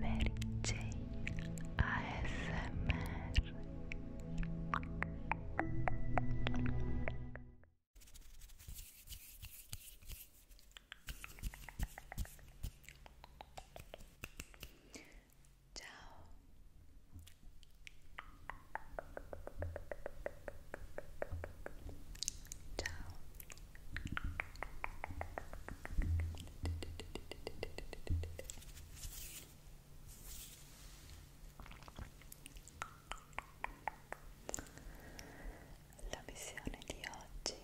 Mary Jane, ASMR. Ciao. Ciao. La missione di oggi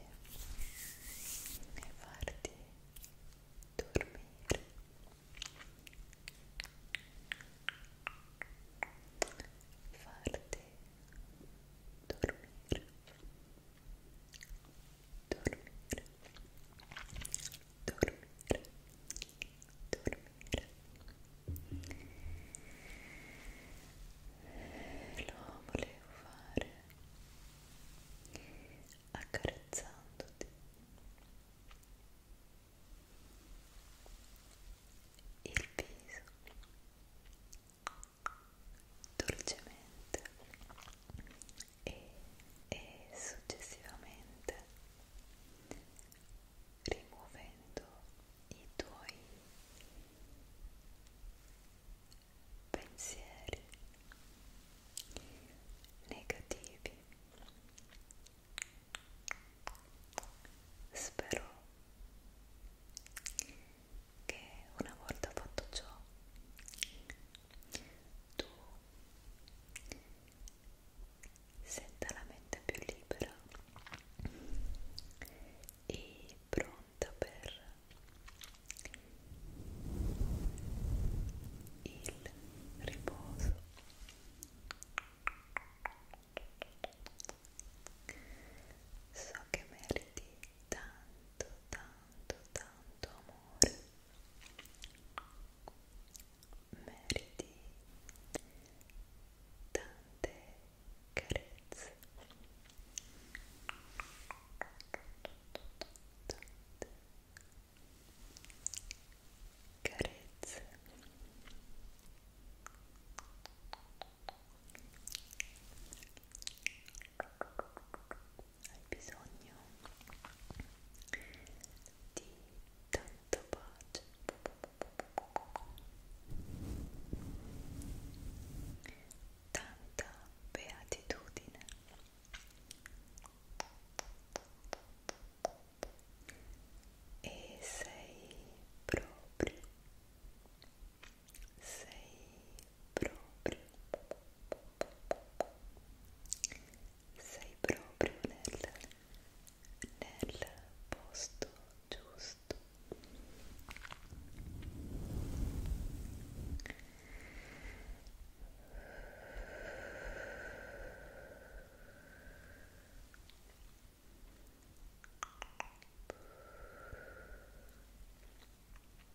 è farti dormire farti dormire dormire, dormire, dormire. Lo volevo fare accarezzandoti il viso dolcemente e, e successivamente rimuovendo i tuoi pensieri negativi spero che una volta fatto ciò tu senta la mente più libera e pronta per il riposo so che meriti tanto, tanto, tanto amore meriti tante carezze tante carezze hai bisogno di tanta pace tanta beatitudine e sei proprio sei proprio sei proprio nel, nel posto giusto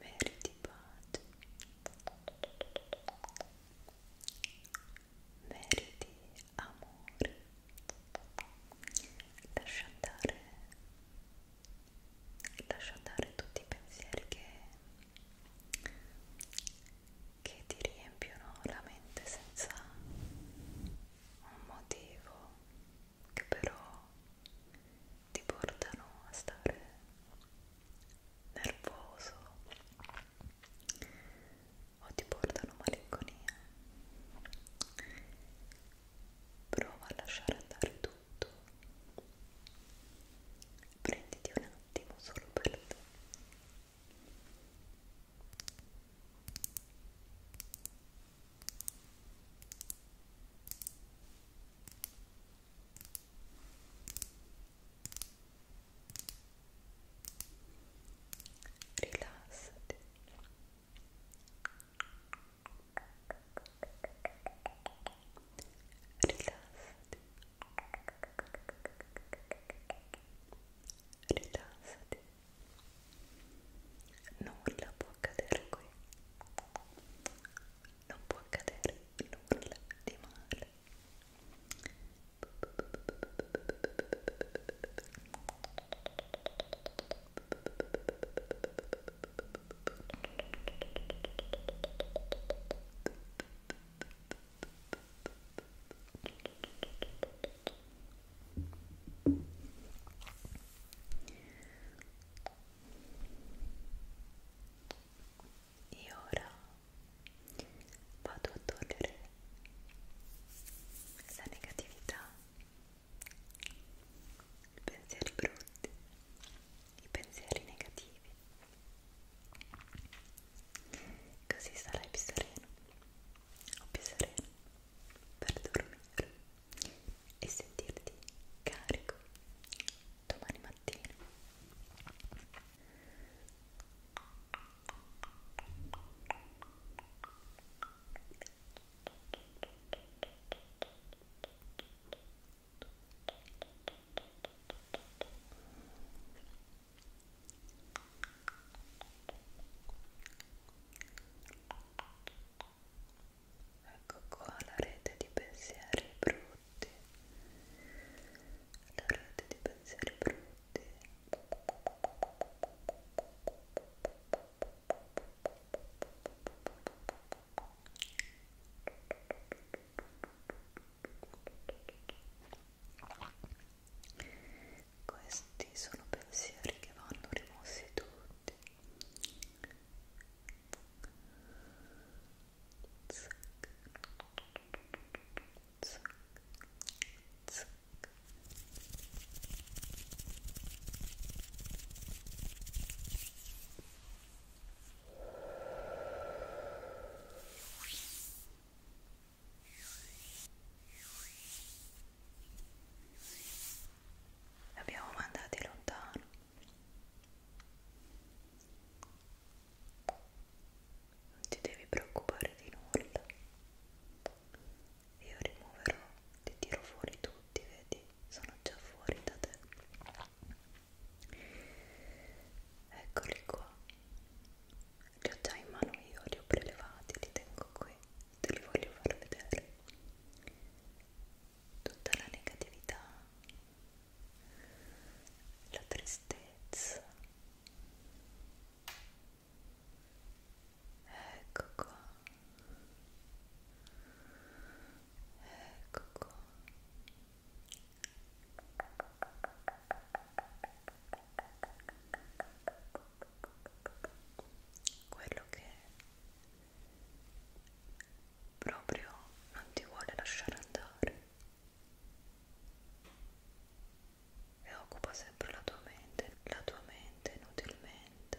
Meriti pace. Meriti amore. Lascia andare lascia andare tutti i pensieri che, che ti riempiono la mente senza un motivo che però ti portano a stare nervoso o ti portano malinconia prova a lasciare andare tutto prenditi un attimo solo per te rilassati rilassati nulla può accadere qui non può accadere nulla di male E ora vado a togliere la negatività i pensieri brutti, i pensieri negativi. Così sarai più sereno o più sereno per dormire e sentirti carico domani mattina. Ecco qua la rete di pensieri brutti, la rete di pensieri brutti. Questi sono pensieri che vanno rimossi tutti. Zac, zac, zac, L'abbiamo mandati lontano. Non ti devi preoccupare di nulla io rimuoverò, ti tiro fuori tutti, vedi, sono già fuori da te. Eccoli qua, li ho già in mano io, li ho prelevati, li tengo qui, te li voglio far vedere. Tutta la negatività, la tristezza Ecco qua. Ecco qua. Quello che proprio non ti vuole lasciare andare e occupa sempre la tua mente, la tua mente inutilmente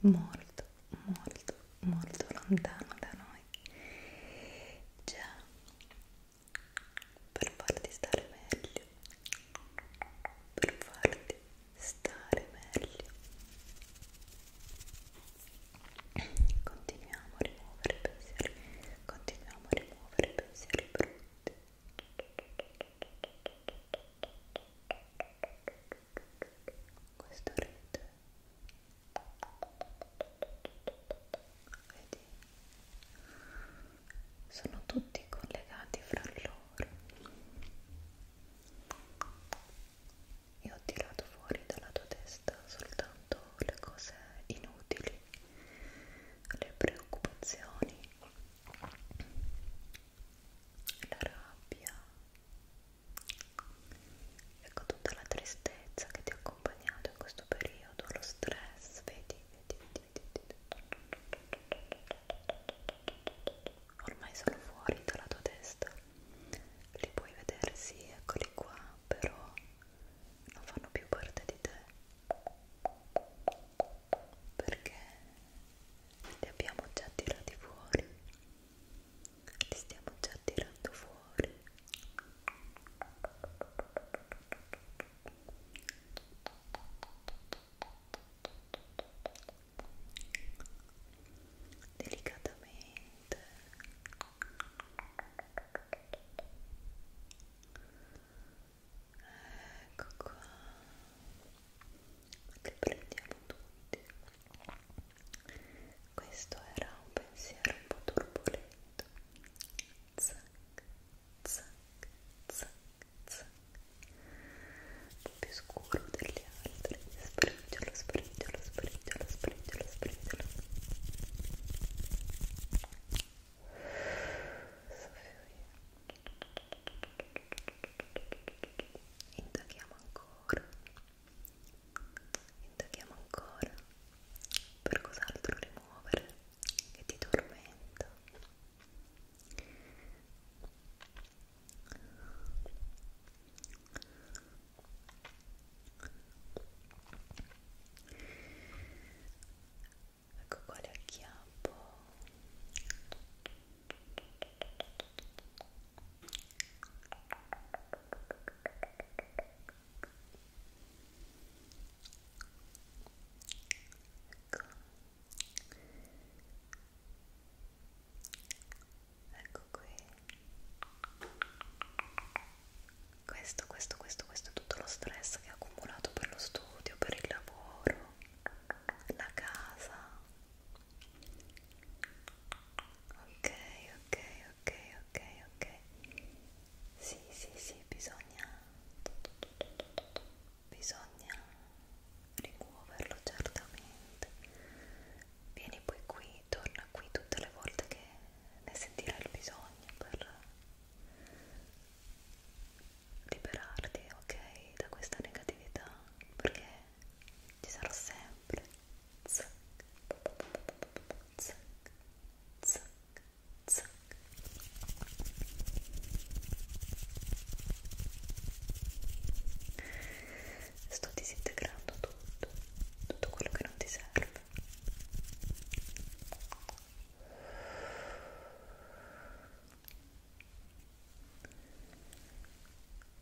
molto, molto, molto lontano da noi. Già, per farti stare meglio, per farti stare meglio. Continuiamo a rimuovere pensieri, continuiamo a rimuovere pensieri brutti questo rete vedi sono tutti collegati fra loro e ho tirato fuori dalla tua testa soltanto le cose inutili le preoccupazioni la rabbia Ecco tutta la tristezza che ti ha accompagnato in questo periodo, lo stress, vedi, vedi, vedi, vedi, vedi. Ormai sono fuori dalla tua testa. Li puoi vedere, sì, eccoli qua, però non fanno più parte di te. Perché li abbiamo già tirati fuori li stiamo già tirando fuori delicatamente ecco qua ma ti prendiamo tutti questo era un pensiero un po' turbolento zac zac zac zac un po' più scuro degli altri spriggiolo spriggiolo spriggiolo spriggiolo spriggiolo Soffio Intaghiamo ancora ancora indaghiamo ancora per cos'altro rimuovere che ti tormenta Ecco qua le acchiappo ecco qui questo questo questo questo è tutto lo stress che ho accumulato per lo studio per il lavoro la casa ok ok ok ok ok sì sì sì bisogna bisogna rimuoverlo certamente vieni poi qui torna qui tutte le volte che ne sentirai il bisogno per liberarti ok da questa negatività perché ci sarò sempre zac, zac, zac, zac. sto disintegrando tutto tutto quello che non ti serve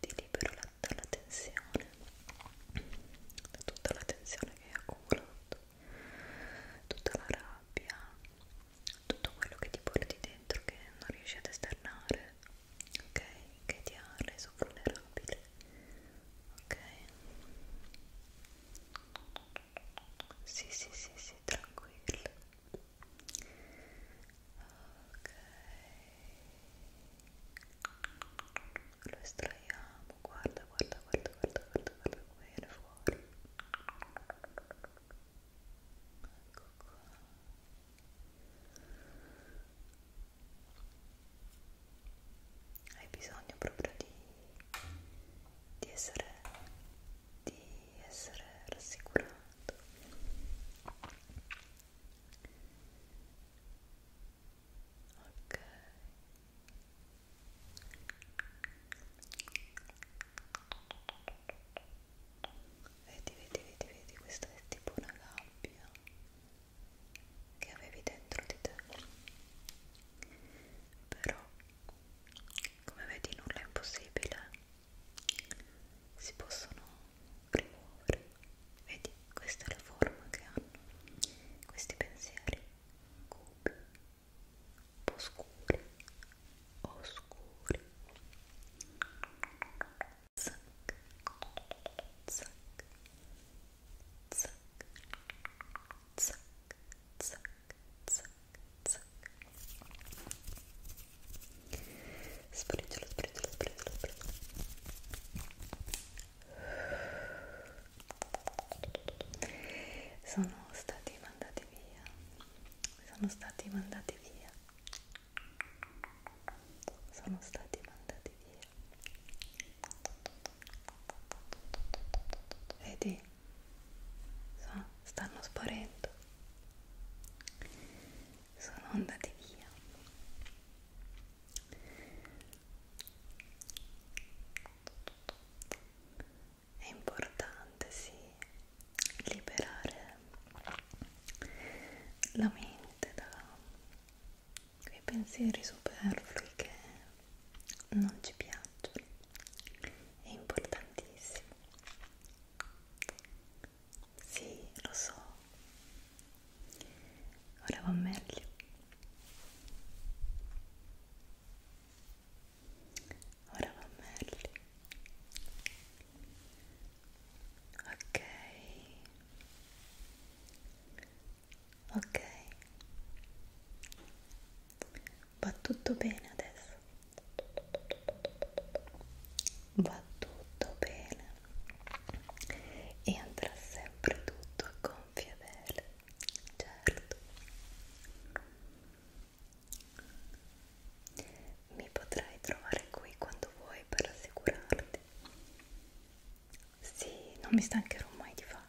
ti libero la, dalla tensione da tutta la tensione che hai accumulato tutta la rabbia tutto quello che ti porti dentro che non riesci ad esternare ok? che ti ha reso vulnerabile ok? Sì, sì, sì, sì, tranquillo. Ok. Lo estraiamo, guarda, guarda, guarda, guarda, guarda, guarda come viene fuori. Ecco qua. Hai bisogno proprio di di essere, di essere rassicurato ok vedi vedi vedi vedi questa è tipo una gabbia che avevi dentro di te però come vedi nulla è impossibile si possono rimuovere vedi questa è la forma che hanno questi pensieri cubi un po' scuri oscuri zac zac zac zac zac Spriggiolo, spriggiolo, spriggiolo, spriggiolo. Sono stati mandati via. Sono stati mandati via. Sono stati mandati via. Vedi? So, stanno sparendo. Sono andati via. È importante, sì, liberare la mente da quei pensieri superflui che non ci piacciono è importantissimo sì lo so ora va meglio ora va meglio ok ok va tutto bene adesso va tutto bene e andrà sempre tutto a gonfie vele certo mi potrai trovare qui quando vuoi per assicurarti sì, non mi stancherò mai di farlo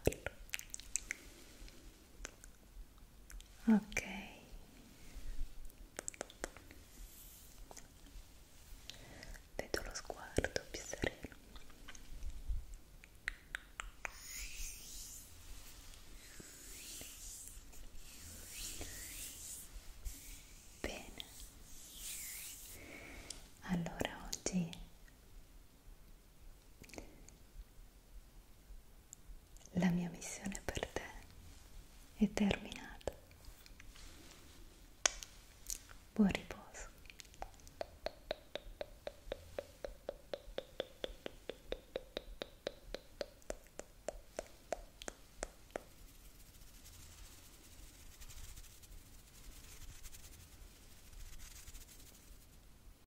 ok vedo lo sguardo più sereno bene allora oggi la mia missione per te è terminata. Buon riposo.